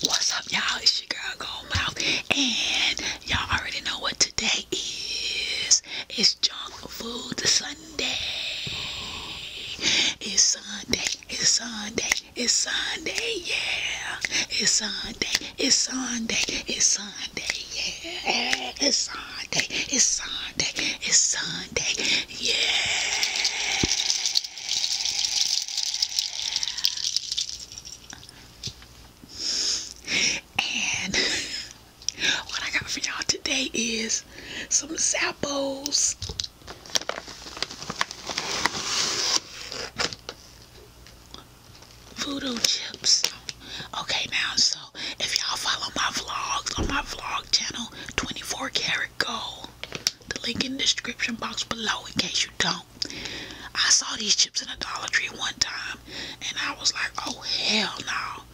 What's up, y'all? It's your girl Gold Mouth, and y'all already know what today is. It's Junk Food Sunday. It's Sunday. It's Sunday. It's Sunday. Yeah. It's Sunday. It's Sunday. It's Sunday. Yeah. It's Sunday. It's Sunday. It's Sunday. Yeah. And what I got for y'all today is some Zappos. Voodoo chips. Okay, now, so if y'all follow my vlogs on my vlog channel, 24 Karat Gold, the link in the description box below in case you don't. I saw these chips in a Dollar Tree one time and I was like, oh hell no.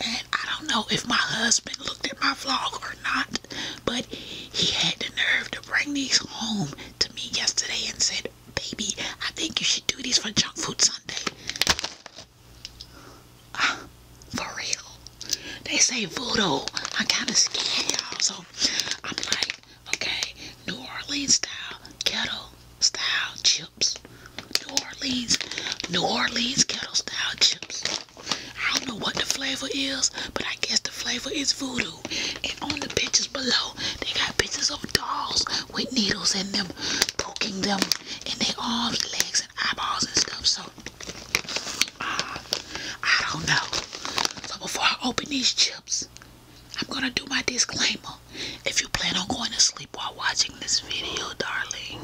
And I don't know if my husband looked at my vlog or not, but he had the nerve to bring these home to me yesterday and said, baby, I think you should do these for Junk Food Sunday. Ah, for real. They say voodoo. I kind of scared y'all, so I'm like, Okay, New Orleans style kettle style chips. New Orleans, New Orleans kettle style chips. I don't know what the flavor is, but I guess the flavor is voodoo. And on the pictures below, they got pictures of dolls with needles in them, poking them in their arms, legs, and eyeballs and stuff. So uh, I don't know. So before I open these chips, I'm gonna do my disclaimer. If you plan on going to sleep while watching this video, darling,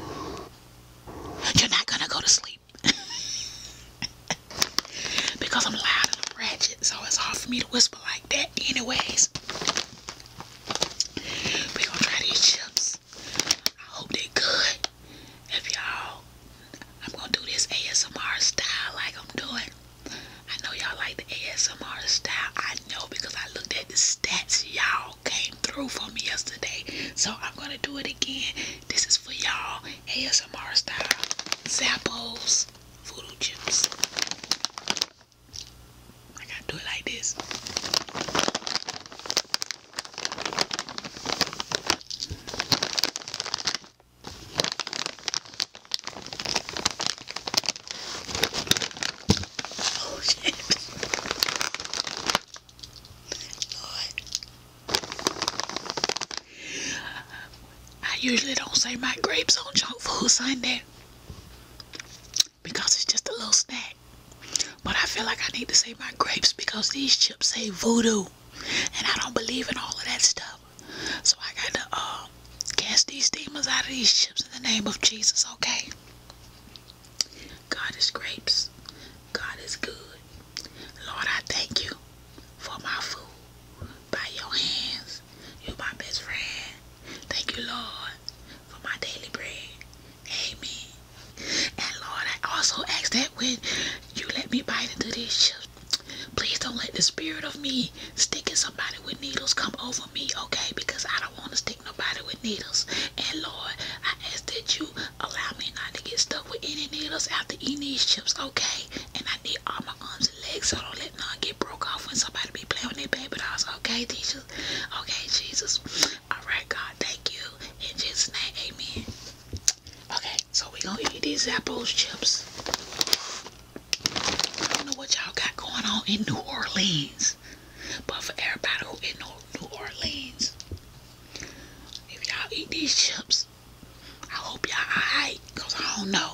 you're not gonna go to sleep. because I'm loud and ratchet, so it's hard for me to whisper like that anyways. we gonna try these chips. I hope they're good. If y'all I'm gonna do this ASMR style like I'm doing. I know y'all like the ASMR style. I know because I looked at the stats y'all came through for me yesterday. So I'm gonna do it again. This is for y'all ASMR style. Zappos voodoo chips. I gotta do it like this. Oh shit. Lord. I usually don't say my grapes on junk food Sunday because it's just a little snack. But I feel like I need to say my grapes because these chips say voodoo. And I don't believe in all of that stuff. So I got to uh, cast these demons out of these ships in the name of Jesus, okay? God is grapes. God is good. Lord, I thank you for my food. By your hands, you're my best friend. Thank you, Lord, for my daily bread. Amen. And Lord, I also ask that when you let me bite into these chips, Please don't let the spirit of me sticking somebody with needles come over me, okay? Because I don't want to stick nobody with needles. And Lord, I ask that you allow me not to get stuck with any needles after eating these chips, okay? And I need all my arms and legs, so don't let none get broke off when somebody be playing with their baby dolls, okay, teacher? Okay, Jesus. All right, God, thank you. And just name, amen. Okay, so we gonna eat these apples chips. I don't know what y'all got going on in New Orleans, but for everybody who in New Orleans, if y'all eat these chips, I hope y'all alright, I don't know.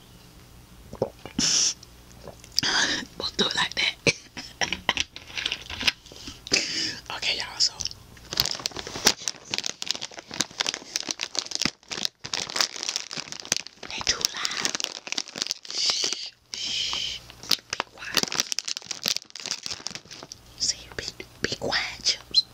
we'll do it like that. okay, y'all, so. They too Shh, shh. Be quiet. See, be, be quiet, chips.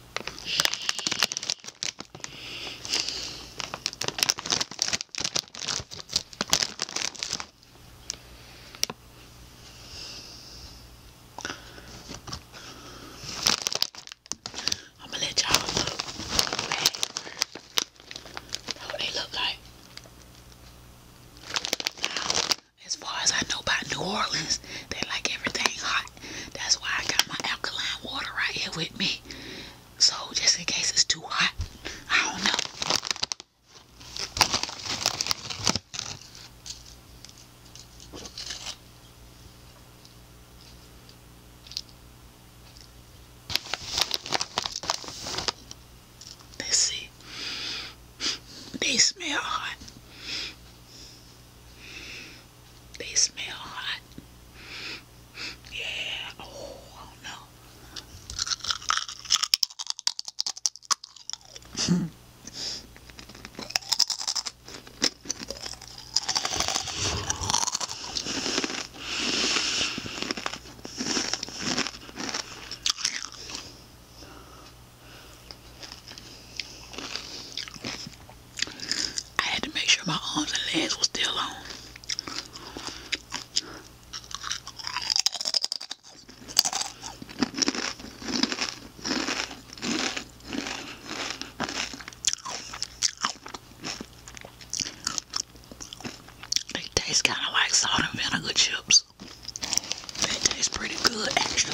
I'm gonna let y'all look at they look like. as far as I know about New Orleans, they like everything hot. That's why I got my alkaline water right here with me. So just in case it's too hot, I don't know. let see. They smell hot. They smell hot. Yeah. Oh, I oh, I had to make sure my arms and legs were still on. They taste kind of like salt and vinegar chips. They taste pretty good, actually.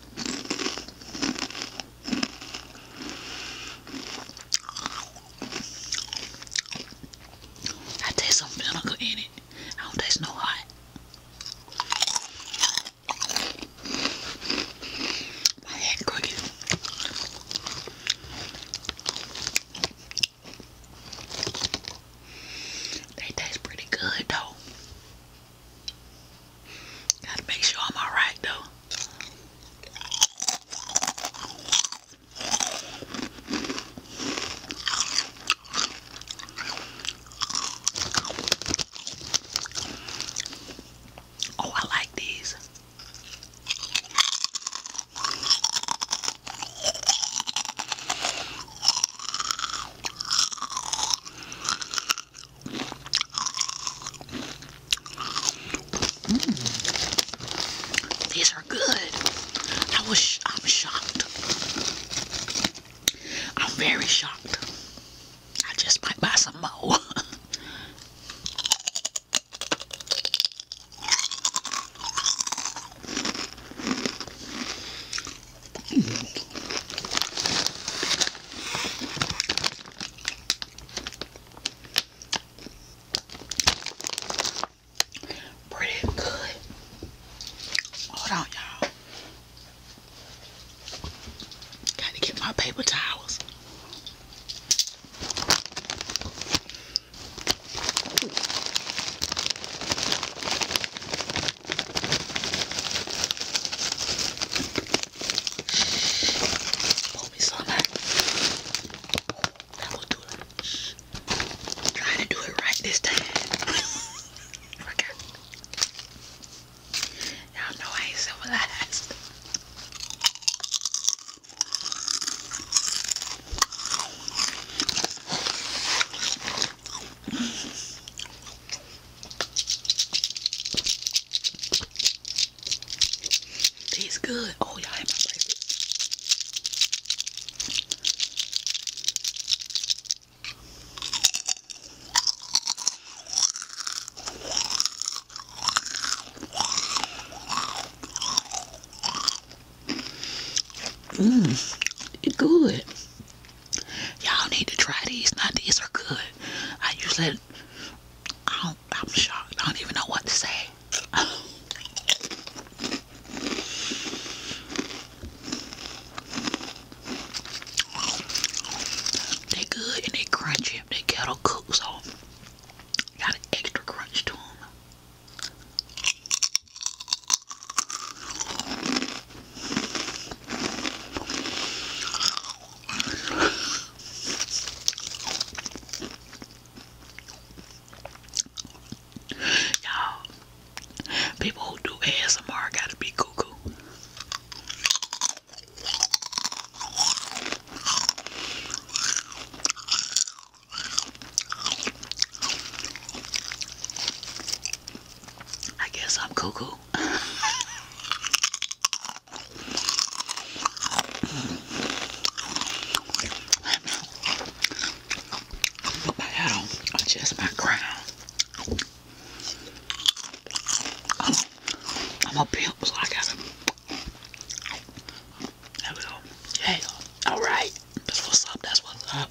I taste some vinegar in it. I don't taste no hot. They taste pretty good though. Gotta make sure I'm alright though. Oh, I like these. Mm. These are good. I was I'm shocked. I'm very shocked. I just might buy some more. Pretty good. Hold on, y'all. Gotta get my paper towels. Pull me some back. That will do it. i to do it right this time. Y'all know I ain't civilized. Tastes good. Oh, y'all had my Mmm, it's good. Y'all need to try these. Now these are good. I usually, I I'm shocked. I don't even know what to say. They good and they crunchy. They kettle cooks off. got an extra crunch to them. Y'all, people who do ASMR gotta be cuckoo. I guess I'm cuckoo. Put my hat on, adjust my crown. I'm, a pimp, so I got There we go. Yeah. Alright. That's what's up. That's what's up.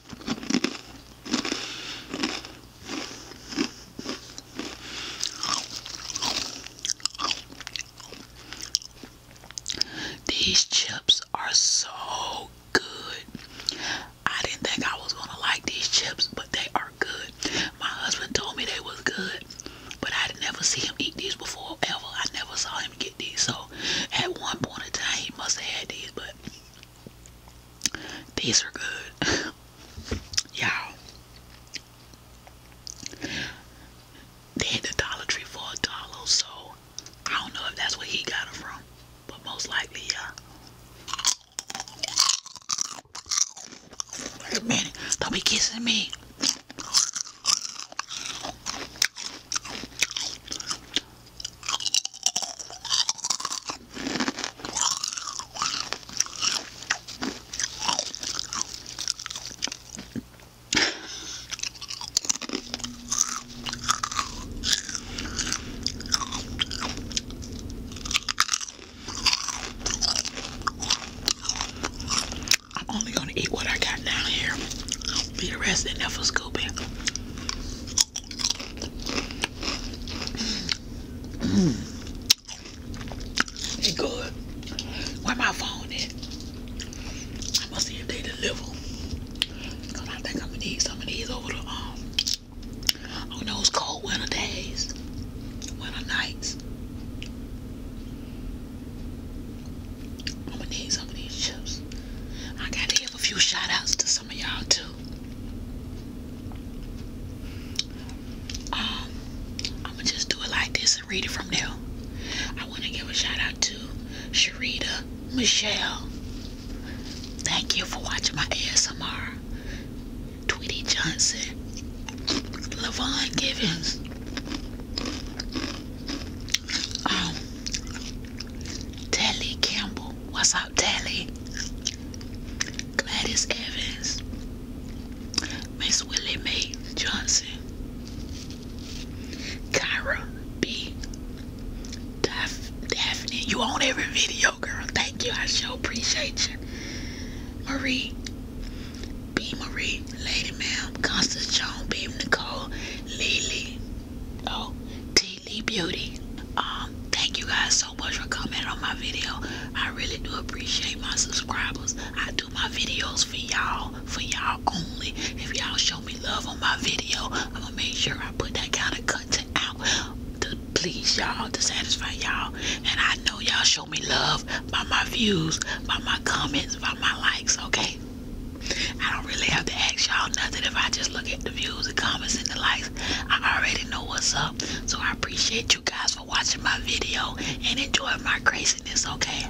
These chips are so good. I didn't think I was gonna like these chips, but they are good. My husband told me they was good, but I would never see him eat these before ever. I never saw him get these. So at one point in time he must have had these, but these are good. Y'all. They had the Dollar Tree for a dollar, so I don't know if that's where he got it from. But most likely, yeah. Wait a minute. Don't be kissing me. I'm only gonna eat what I got down here. Be the rest in there for it's good. Where my phone at? I'm gonna see if they deliver. I think I'm gonna need some of these over the um on those cold winter days, winter nights. I'm gonna need some of these chips. I gotta give a few shout outs to y'all too. Um, I'ma just do it like this and read it from there. I wanna give a shout out to Sharita Michelle. Thank you for watching my ASMR. Tweety Johnson. Levon Givens. Um, Telly Campbell. What's up, Telly? Gladys Evans. Miss Willie Mae Johnson. Kyra B. Daph Daphne. You on every video, girl. Thank you. I sure appreciate you. Marie. B. Marie. Lady Ma'am. Constance Joan. B. Nicole. Lily. Oh. T. Beauty. Um, thank you guys so much for commenting on my video. I really do appreciate my subscribers. I do my videos for y'all, for y'all only. If y'all show me love on my video, I'm gonna make sure I put that kind of content out to please y'all, to satisfy y'all. And I know y'all show me love by my views, by my comments, by my likes, okay? I don't really have to ask y'all nothing if I just look at the views, the comments, and the likes. I already know what's up. So I appreciate you guys for watching my video and enjoying my craziness, okay?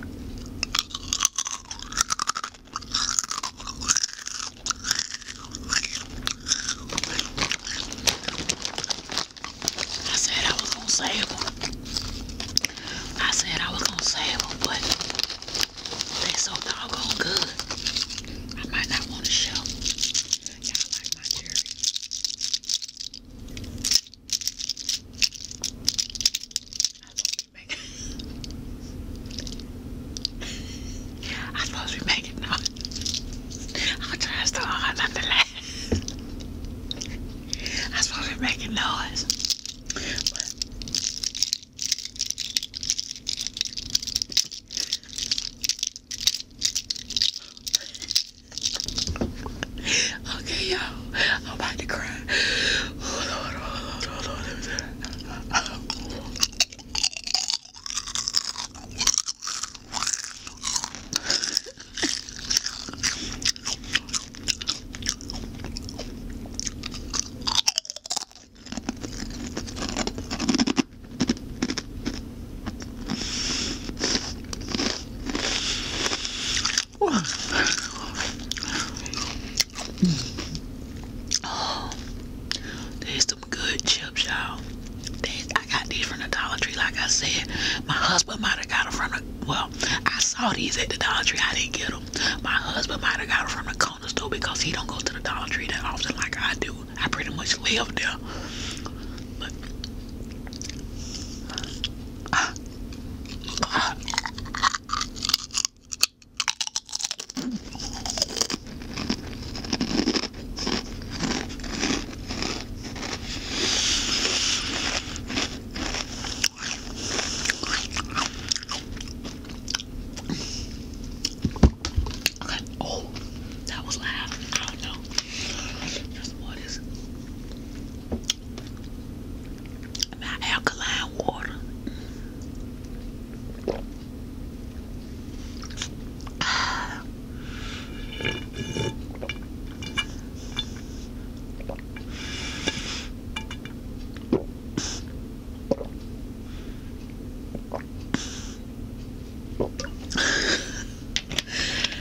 I said I was gonna save them. I said I was gonna save them, but they so doggone good. I might not want to show. Yeah, I like my cherry. I thought we make it. I thought we make it now. I'll try so not to laugh. I suppose we're making noise okay, y'all. I'm about to cry. Oh, there's some good chips, you I got these from the Dollar Tree, like I said. My husband might have got them from the well. I saw these at the Dollar Tree. I didn't get them. My husband might have got them from the the do because he don't go to the Dollar Tree that often like I do. I pretty much live there. Oh, that was loud. I don't know. There's more alkaline water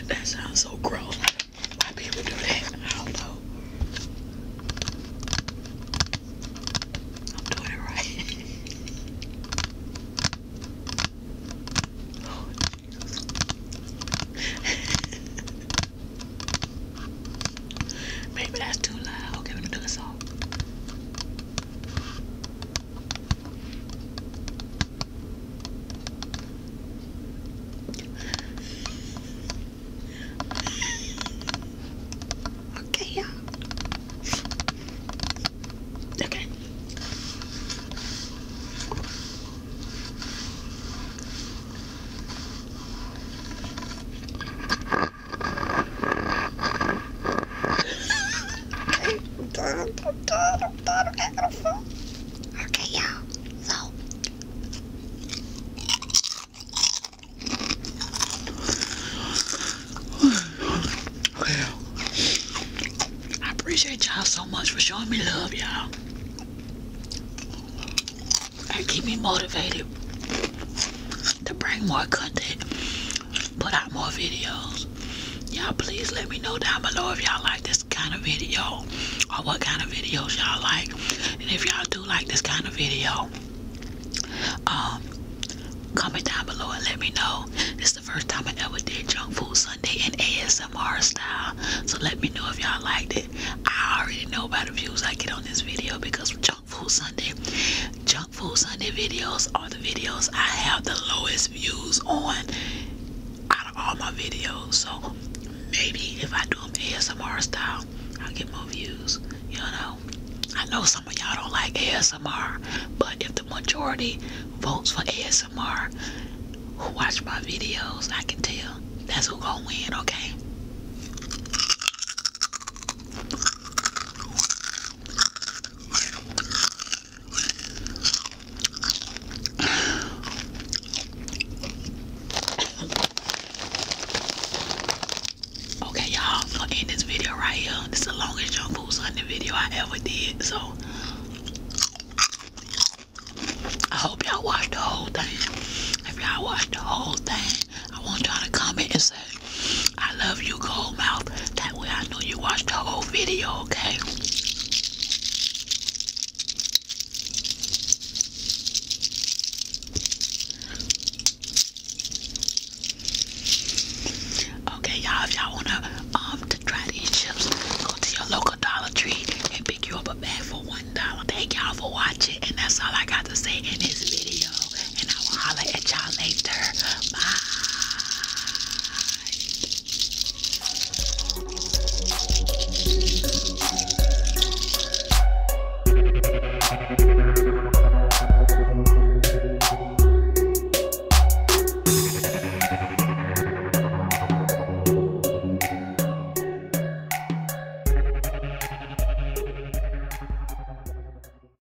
that sounds so gross. Why people do that? I don't know. I'm doing it right. oh, Maybe that's too loud. Okay, let me do this all. Okay, yeah. Okay i Okay, y'all, so. Well, I appreciate y'all so much for showing me love, y'all. That keep me motivated to bring more content, put out more videos. Y'all please let me know down below if y'all like this kind of video or what kind of videos y'all like. And if y'all do like this kind of video, um, comment down below and let me know. This is the first time I ever did Junk Food Sunday in ASMR style. So let me know if y'all liked it. I already know about the views I get on this video because Junk Food Sunday. Junk Food Sunday videos are the videos I have the lowest views on out of all my videos. So maybe if I do them ASMR style, I'll get more views. You know, I know some of y'all don't like ASMR, but if the majority votes for ASMR, who watch my videos, I can tell. That's who gonna win, okay? Okay, y'all, i this video right here. This is the longest junk food Sunday video I ever did, so I hope y'all watched the whole thing. If y'all watched the whole thing, I want y'all to comment and say I love you, Gold Mouth. That way I know you watched the whole video, okay? Okay, y'all, if y'all wanna um to try these chips, go to your local Dollar Tree and pick you up a bag for one dollar. Thank y'all for watching, and that's all I got to say in this video and I will holler at y'all later. Bye.